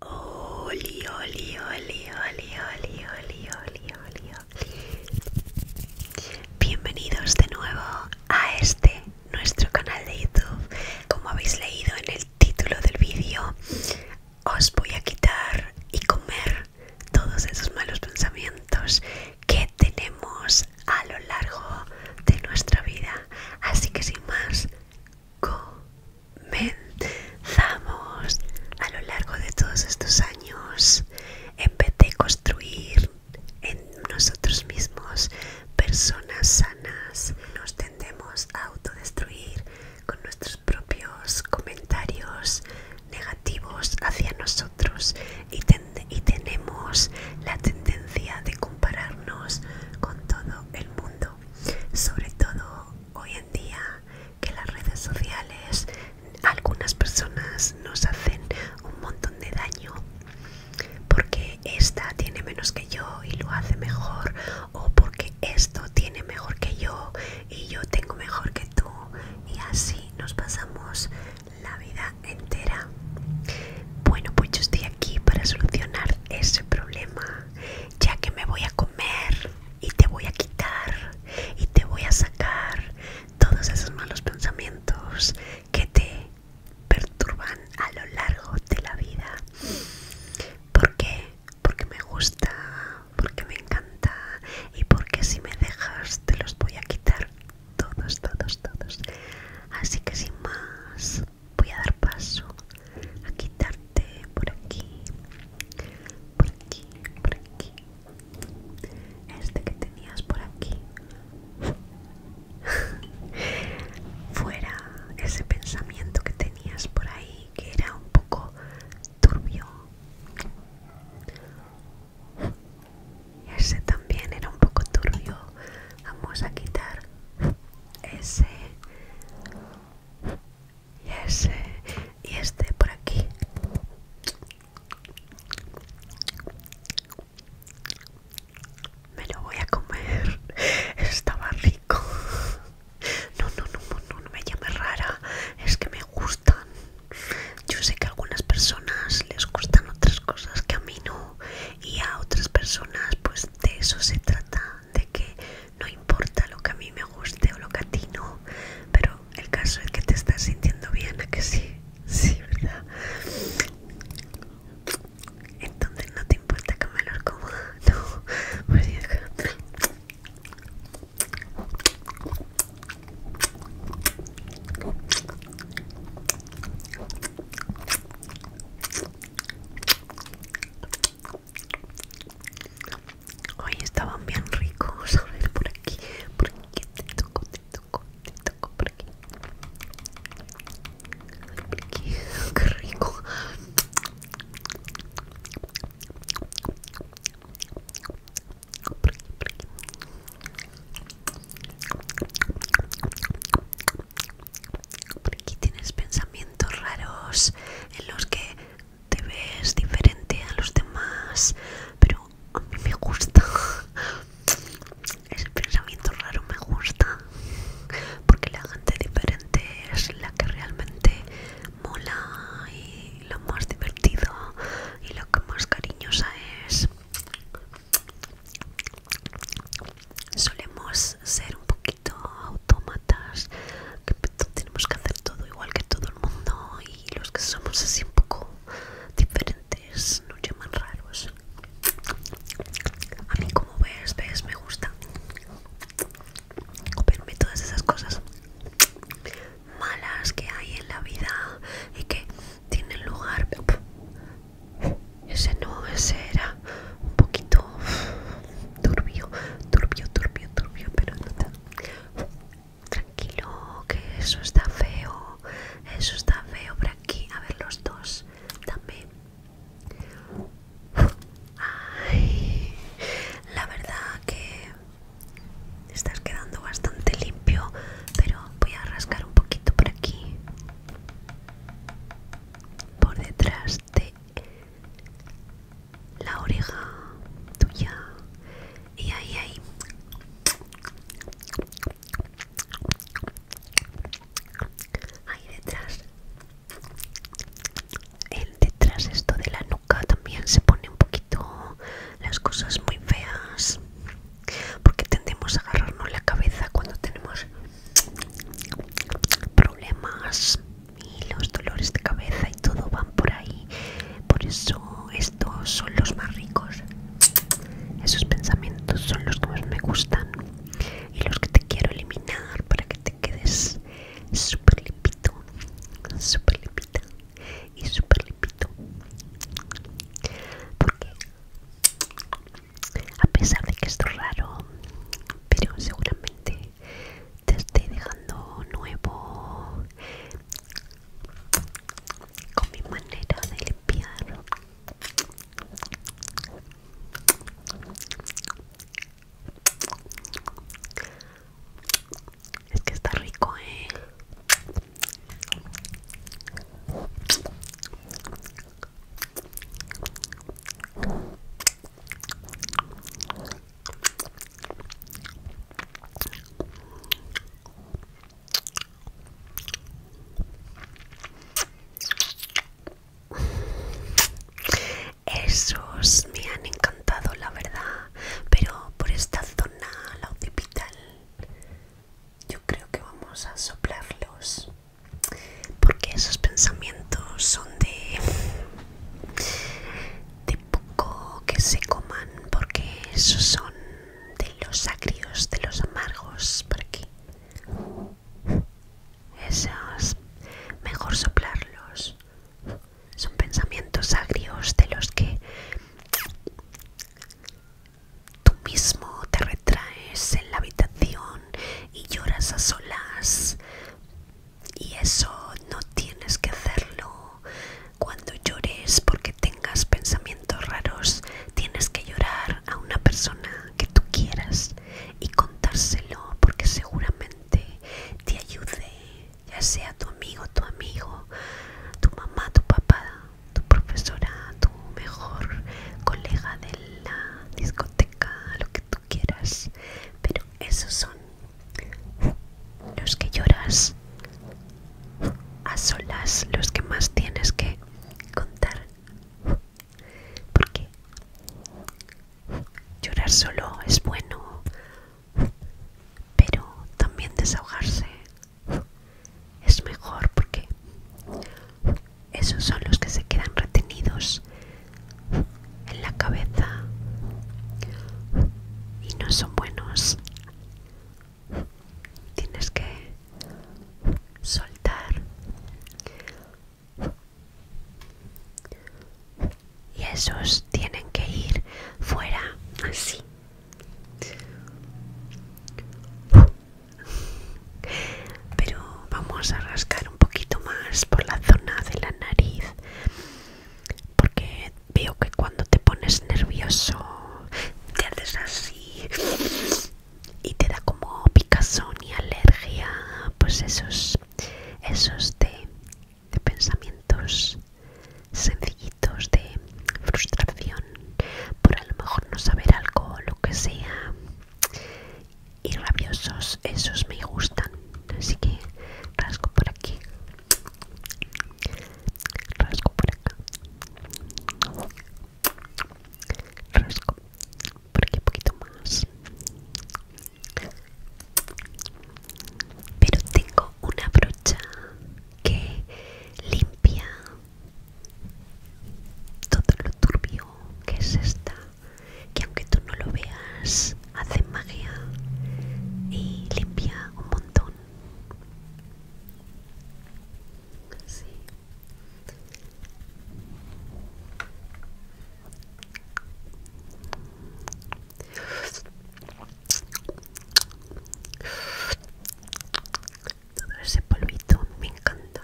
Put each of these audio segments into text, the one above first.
Oli, oli, oli, oli, oli, oli, oli, oli, Bienvenidos de nuevo a este, nuestro canal de YouTube. Como habéis leído en el título del vídeo, os voy a quitar y comer todos esos malos pensamientos que tenemos a lo largo de nuestra vida. Así que sin más, comenzamos a lo largo de todos estos años en vez de construir en nosotros mismos personas sanas nos tendemos a autodestruir con nuestros propios comentarios negativos hacia nosotros y, y tenemos la tendencia de compararnos con todo el mundo sobre todo hoy en día que las redes sociales algunas personas nos hacen un montón de daño porque esta tiene menos que yo y lo hace mejor o porque esto tiene mejor que yo y yo tengo mejor que tú y así nos pasamos la vida entera bueno pues yo estoy aquí para solucionar ese problema ya que me voy a y te voy a quitar y te voy a sacar todos esos malos pensamientos que te perturban a lo largo de la vida. ¿Por qué? Porque me gusta, porque me encanta y porque si me dejas te los voy a quitar todos, todos, todos. Así que sin más, voy a dar paso a quitarte por aquí por aquí por aquí este que tenías por aquí fuera ese pensamiento que tenías por ahí que era un poco turbio ese también era un poco turbio vamos a quitar ese y ese y este por aquí me lo voy a comer estaba rico no no no no, no me llame rara es que me gustan yo sé que a algunas personas les gustan otras cosas que a mí no y a otras personas pues de eso se trata de que no importa lo que a mí me guste o lo que a ti no, pero el caso es que te estás sintiendo bien, ¿a que sí? Sí, ¿verdad? Entonces no te importa que me lo coma, no, pues deja. Hoy estaban bien ricos. A ver, por aquí, por aquí, te toco, te toco, te toco, por aquí. Por aquí, qué rico. Por aquí, por aquí. Por aquí tienes pensamientos raros en los que te ves diferente a los demás, pero a mí me gusta. Ese pensamiento raro me gusta. Porque la gente diferente es la que realmente mola y lo más divertido y lo que más cariñosa es solemos ser un poquito autómatas, que tenemos que hacer todo igual que todo el mundo y los que somos así un poco diferentes nos llaman raros. A mí como ves, ves, me gusta verme todas esas cosas malas que hay en la vida y que tienen lugar ese no, ese era un poquito turbio, turbio, turbio, turbio, pero no Tranquilo, que eso está feo, eso está feo por aquí. A ver, los dos, también. la verdad que estás quedando bastante limpio, pero voy a rascar un poquito por aquí. Por detrás de la oreja tuya y ahí ahí ahí detrás el detrás esto de la nuca también se pone un poquito las cosas muy feas porque tendemos a agarrarnos la cabeza cuando tenemos problemas y los dolores de cabeza y todo van por ahí. Por eso estos son los más ricos. Esos pensamientos son los que más me gustan y los que te quiero eliminar para que te quedes súper limpito, súper limpita y súper limpito. Porque a pesar de que esto es raro pero seguramente te estoy dejando nuevo con mi manera de limpiar es que está rico eh esos me han encantado, la verdad, pero por esta zona, la occipital, yo creo que vamos a soplarlos porque esos pensamientos son de de poco que se coman porque esos son de los agrios de los amargos por aquí esos mejor soplarlos son pensamientos agrios de los que tú mismo te retraes en la habitación y lloras a solas. Y eso no tienes que hacerlo. Cuando llores porque tengas pensamientos raros, tienes que llorar a una persona que tú quieras y contárselo porque seguramente te ayude, ya sea tu amigo, tu amigo, tu mamá, tu papá, tu profesora, tu mejor colega de la discoteca lo que tú quieras. Pero esos son los que lloras a solas, los que más tienes que contar. Porque llorar solo es bueno, pero también desahogarse es mejor porque esos son los que se quedan retenidos en la cabeza y no son buenos. Tienes que soltar. Y esos tienen que ir fuera así pero vamos a rascar un poquito más por la zona de la nariz porque veo que cuando te pones nervioso te haces así y te da como picazón y alergia pues esos esos de, pensamientos sencillitos de frustración por a lo mejor no saber algo o lo que sea y rabiosos, esos me gustan. Así que rasco por aquí, rasco por acá, rasco por aquí un poquito más. Pero tengo una brocha que limpia todo lo turbio que es esta, que aunque tú no lo veas, hace magia y limpia un montón todo ese polvito me encanta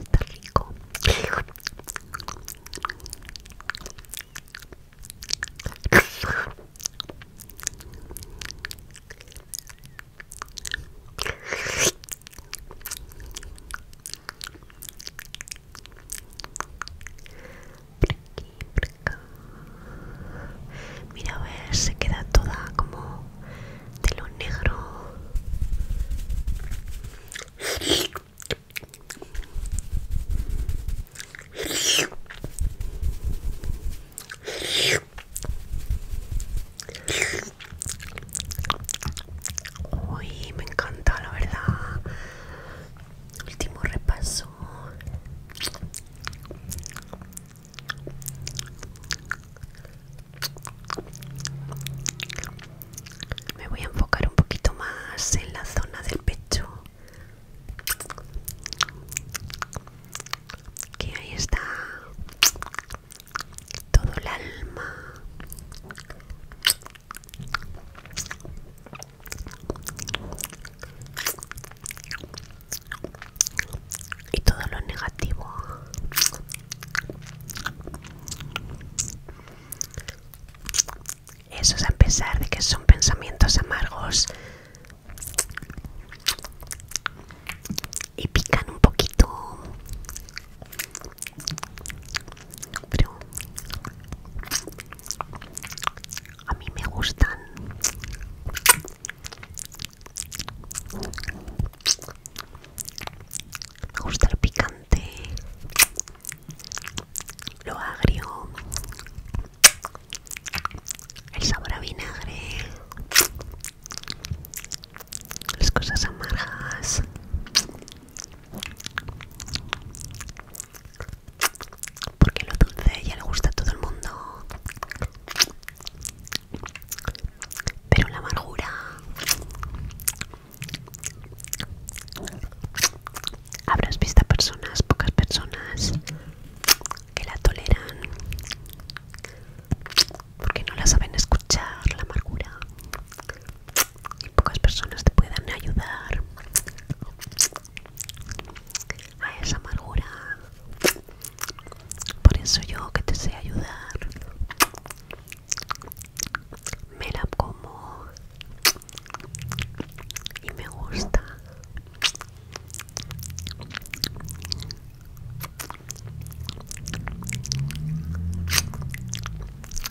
está rico por aquí, por acá Mira, a ver, se queda toda como de lo negro. Uy, me encanta, la verdad. Último repaso. Me voy a enfocar un poquito más en la zona del pecho. Que ahí está todo el alma y todo lo negativo es a pesar de que son pensamientos amargos y pican un poquito pero a mí me gustan me gusta el picante, lo agrio, el sabor a vinagre, las cosas amargas. Porque lo dulce ya le gusta a todo el mundo. Pero la amargura habrás visto personas, pocas personas que la toleran porque no la saben escuchar la amargura y pocas personas te puedan ayudar a esa amargura por eso yo que te sé ayudar. Me la como y me gusta.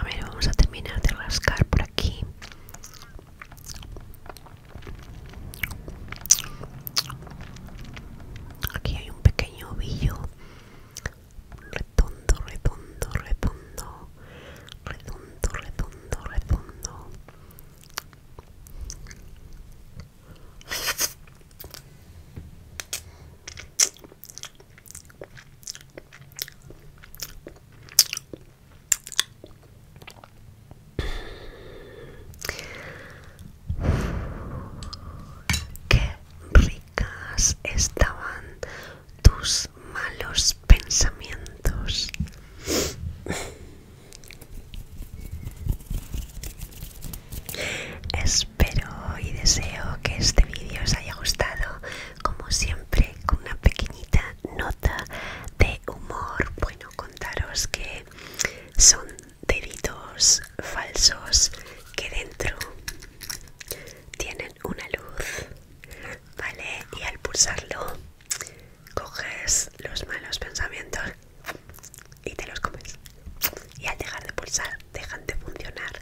A ver, vamos a terminar de rascar por aquí. Aquí hay un pequeño ovillo redondo, redondo, redondo, redondo, redondo, redondo. Qué ricas estaban tus malos pensamientos. Espero y deseo que este vídeo os haya gustado, como siempre, con una pequeñita nota de humor. Bueno, contaros que son deditos falsos que dentro tienen una luz, ¿vale? Y al pulsarlo coges los malos pensamientos y te los comes. Y al dejar de pulsar, dejan de funcionar.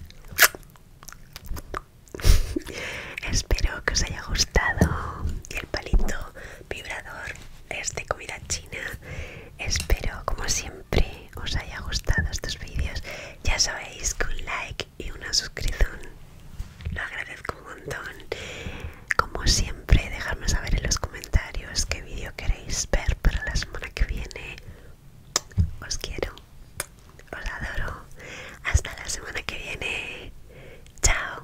Espero que os haya gustado y el palito vibrador de este comida china. Espero, como siempre, os haya gustado estos vídeos. Ya sabéis que un like y una suscripción lo agradezco un montón. Como siempre, dejadme saber en los comentarios qué vídeo queréis ver para la semana que viene. Os quiero, os adoro. Hasta la semana que viene. Chao.